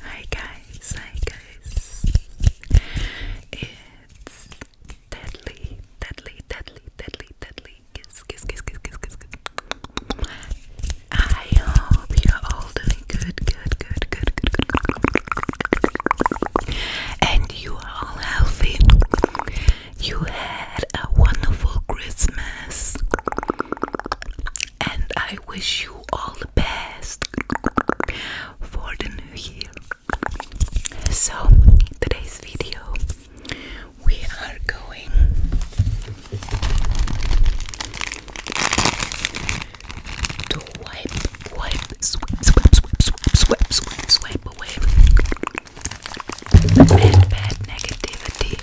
Hi guys, hi guys. It's deadly, deadly, deadly, deadly, deadly. Kiss, kiss, kiss, kiss, kiss, kiss, I hope you're all doing good, good, good, good, good, good. And you are all healthy. You had a wonderful Christmas and I wish you all the best for the new year. So, today's video we are going to wipe, wipe, swipe, swipe, swipe, swipe, swipe, swipe away bad, negativity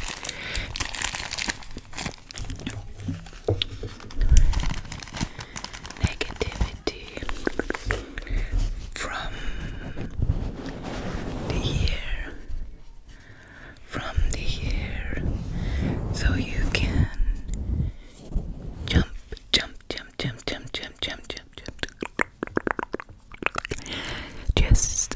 negativity from the year from the year so you can jump jump jump jump jump jump jump jump jump just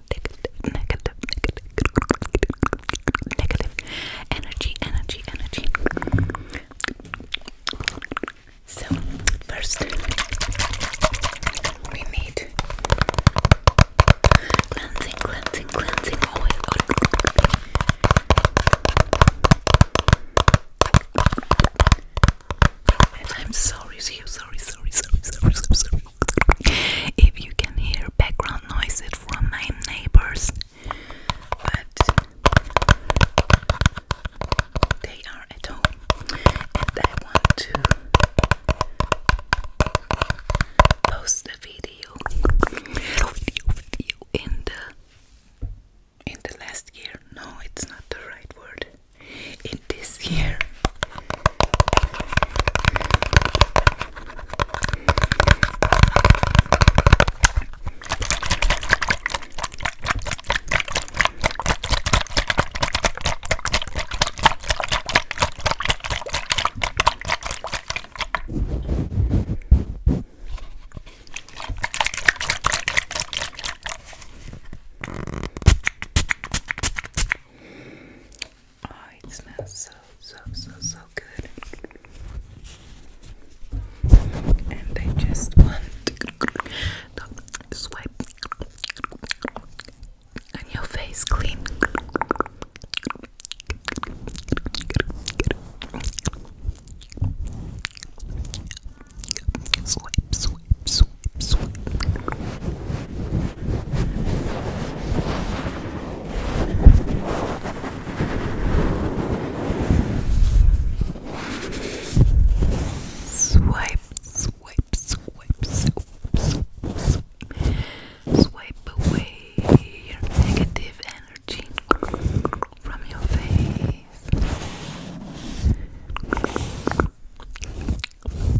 negative, negative, negative, negative energy, energy, energy. So first, we need cleansing, cleansing, cleansing oil. I'm sorry, sorry, sorry, sorry, sorry, sorry, sorry, if you can hear background noises from my neighbors, but they are at home, and I want to post the video, video in the in the last year. No, it's not the right word in this year. Oh, it smells so, so, so, so good. And I just want to swipe and your face clean. Swipe, swipe, sweep, sweep, sweep. Swipe, swipe, swipe, swipe, swipe, swipe. Swipe away your negative energy from your face.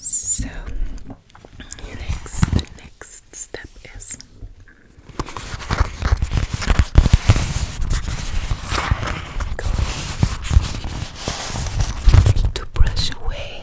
So next, the next step is to brush away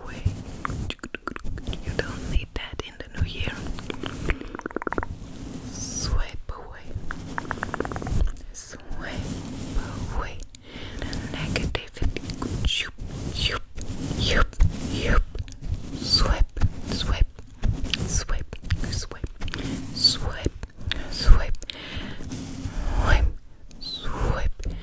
away. You don't need that in the new year. Swipe away. Swipe away. negativity. Yup, yup, yup, yup. swipe, swipe, swipe, swipe, swipe, swipe, swipe,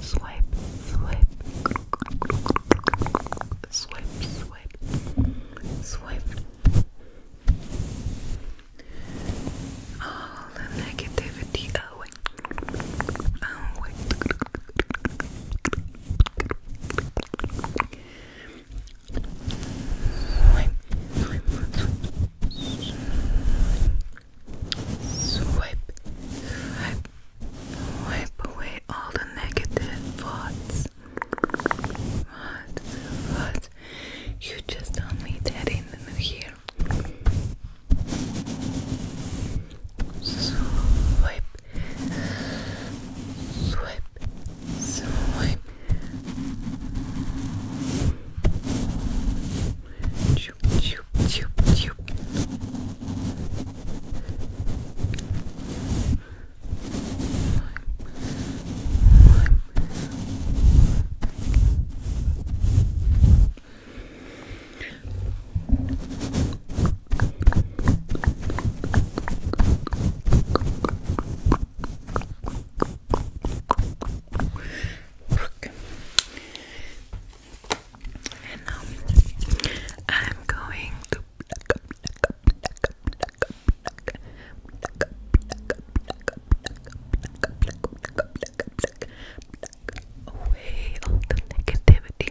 Swipe, swipe, swipe, swipe, All the negativity away, away swipe, swipe, wipe away all the negative thoughts. What? What? You just told me in the new year. Swipe, Swipe, swipe. Choop, choop, choop, choop. And now I'm going to away all the negativity.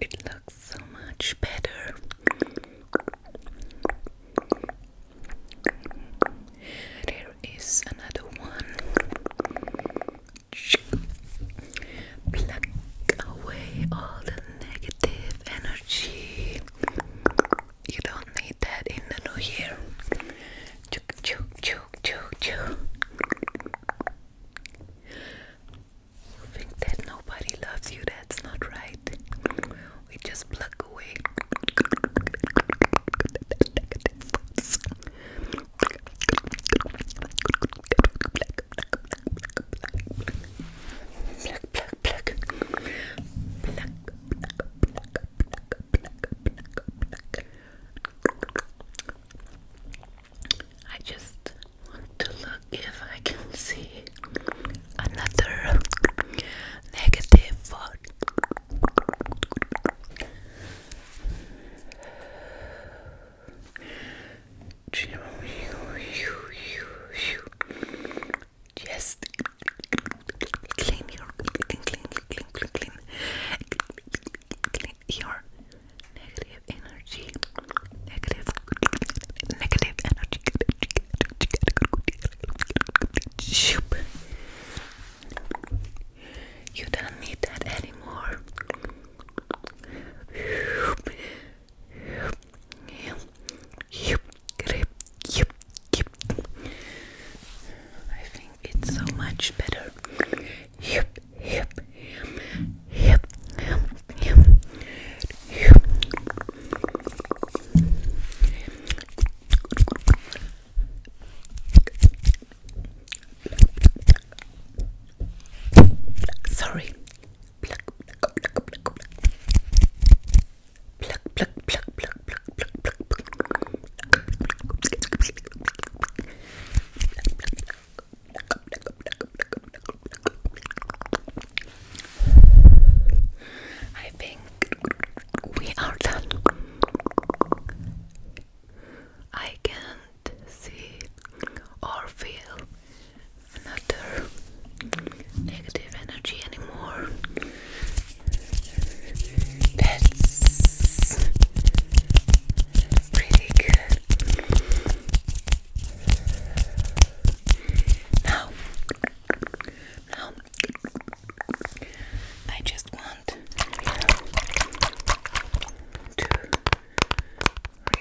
it looks so much better. There is another one. Pluck away all the negative energy. You don't need that in the new year. Chuk, chuk, chuk, chuk, chuk. You think that nobody loves you? That's not right. We just plug away. I just want to look if I can see another negative thought. Just clean clean, clean, clean, clean, clean, clean, your negative energy, negative, negative energy. You don't need that anymore. I think it's so much better hip, hip, hip, hip, hip. Sorry. Pluck, pluck, pluck, pluck, pluck. Pluck, pluck, pluck, pluck, pluck, pluck, pluck, pluck. Pluck, pluck, pluck, pluck, pluck, pluck, pluck. Pluck, pluck, pluck, pluck, pluck, pluck. I think we are done. I can't see or feel another negative energy anymore. That's Pretty good. Now, now, I just want to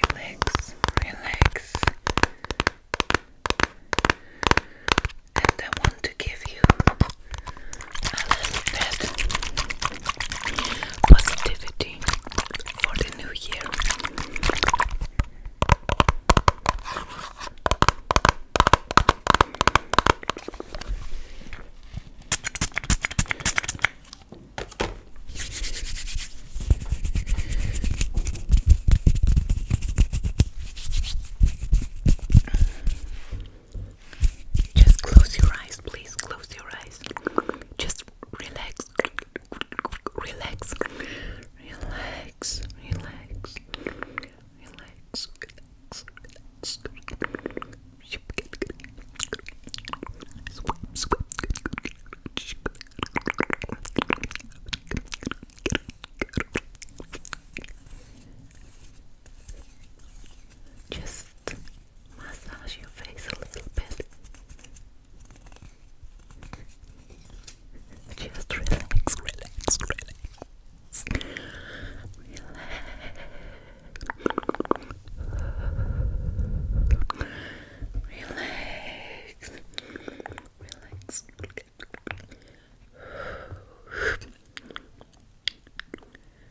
relax, relax, and I want to give you that positivity for the new year. Just close your eyes, please. Close your eyes. Just relax. Relax. Relax. Relax. Relax. Relax. Swim, swim. Just massage your face a little bit. Just relax, relax, relax. Relax. Relax. Relax.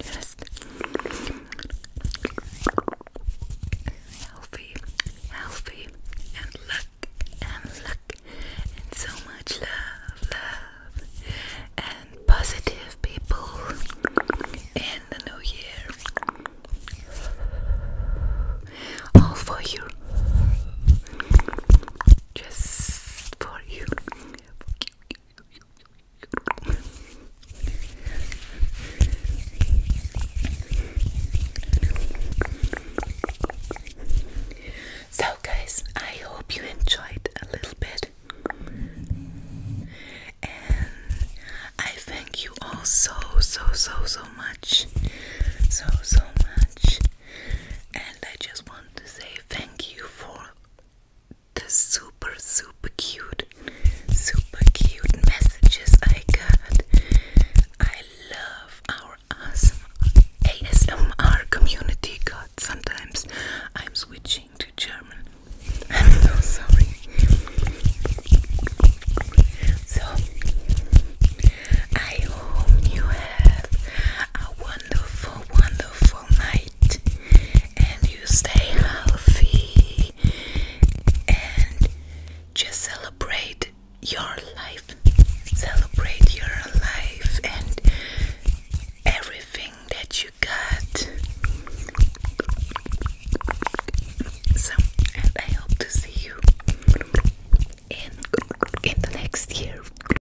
Just healthy, healthy, and luck, and luck, and so much love, love, and positive people in the new year. All for you. Just for you. So, guys, I hope you enjoyed a little bit, and I thank you all so, so, so, so much, so, so much, and I just want to say thank you for the super, super cute, super cute messages I got. I love our awesome ASMR community. God, sometimes I'm switching to German. I'm so sorry. So, I hope you have a wonderful, wonderful night and you stay healthy and just celebrate your life. Celebrate your life and everything that you got. So, and I hope to see you in in the next year.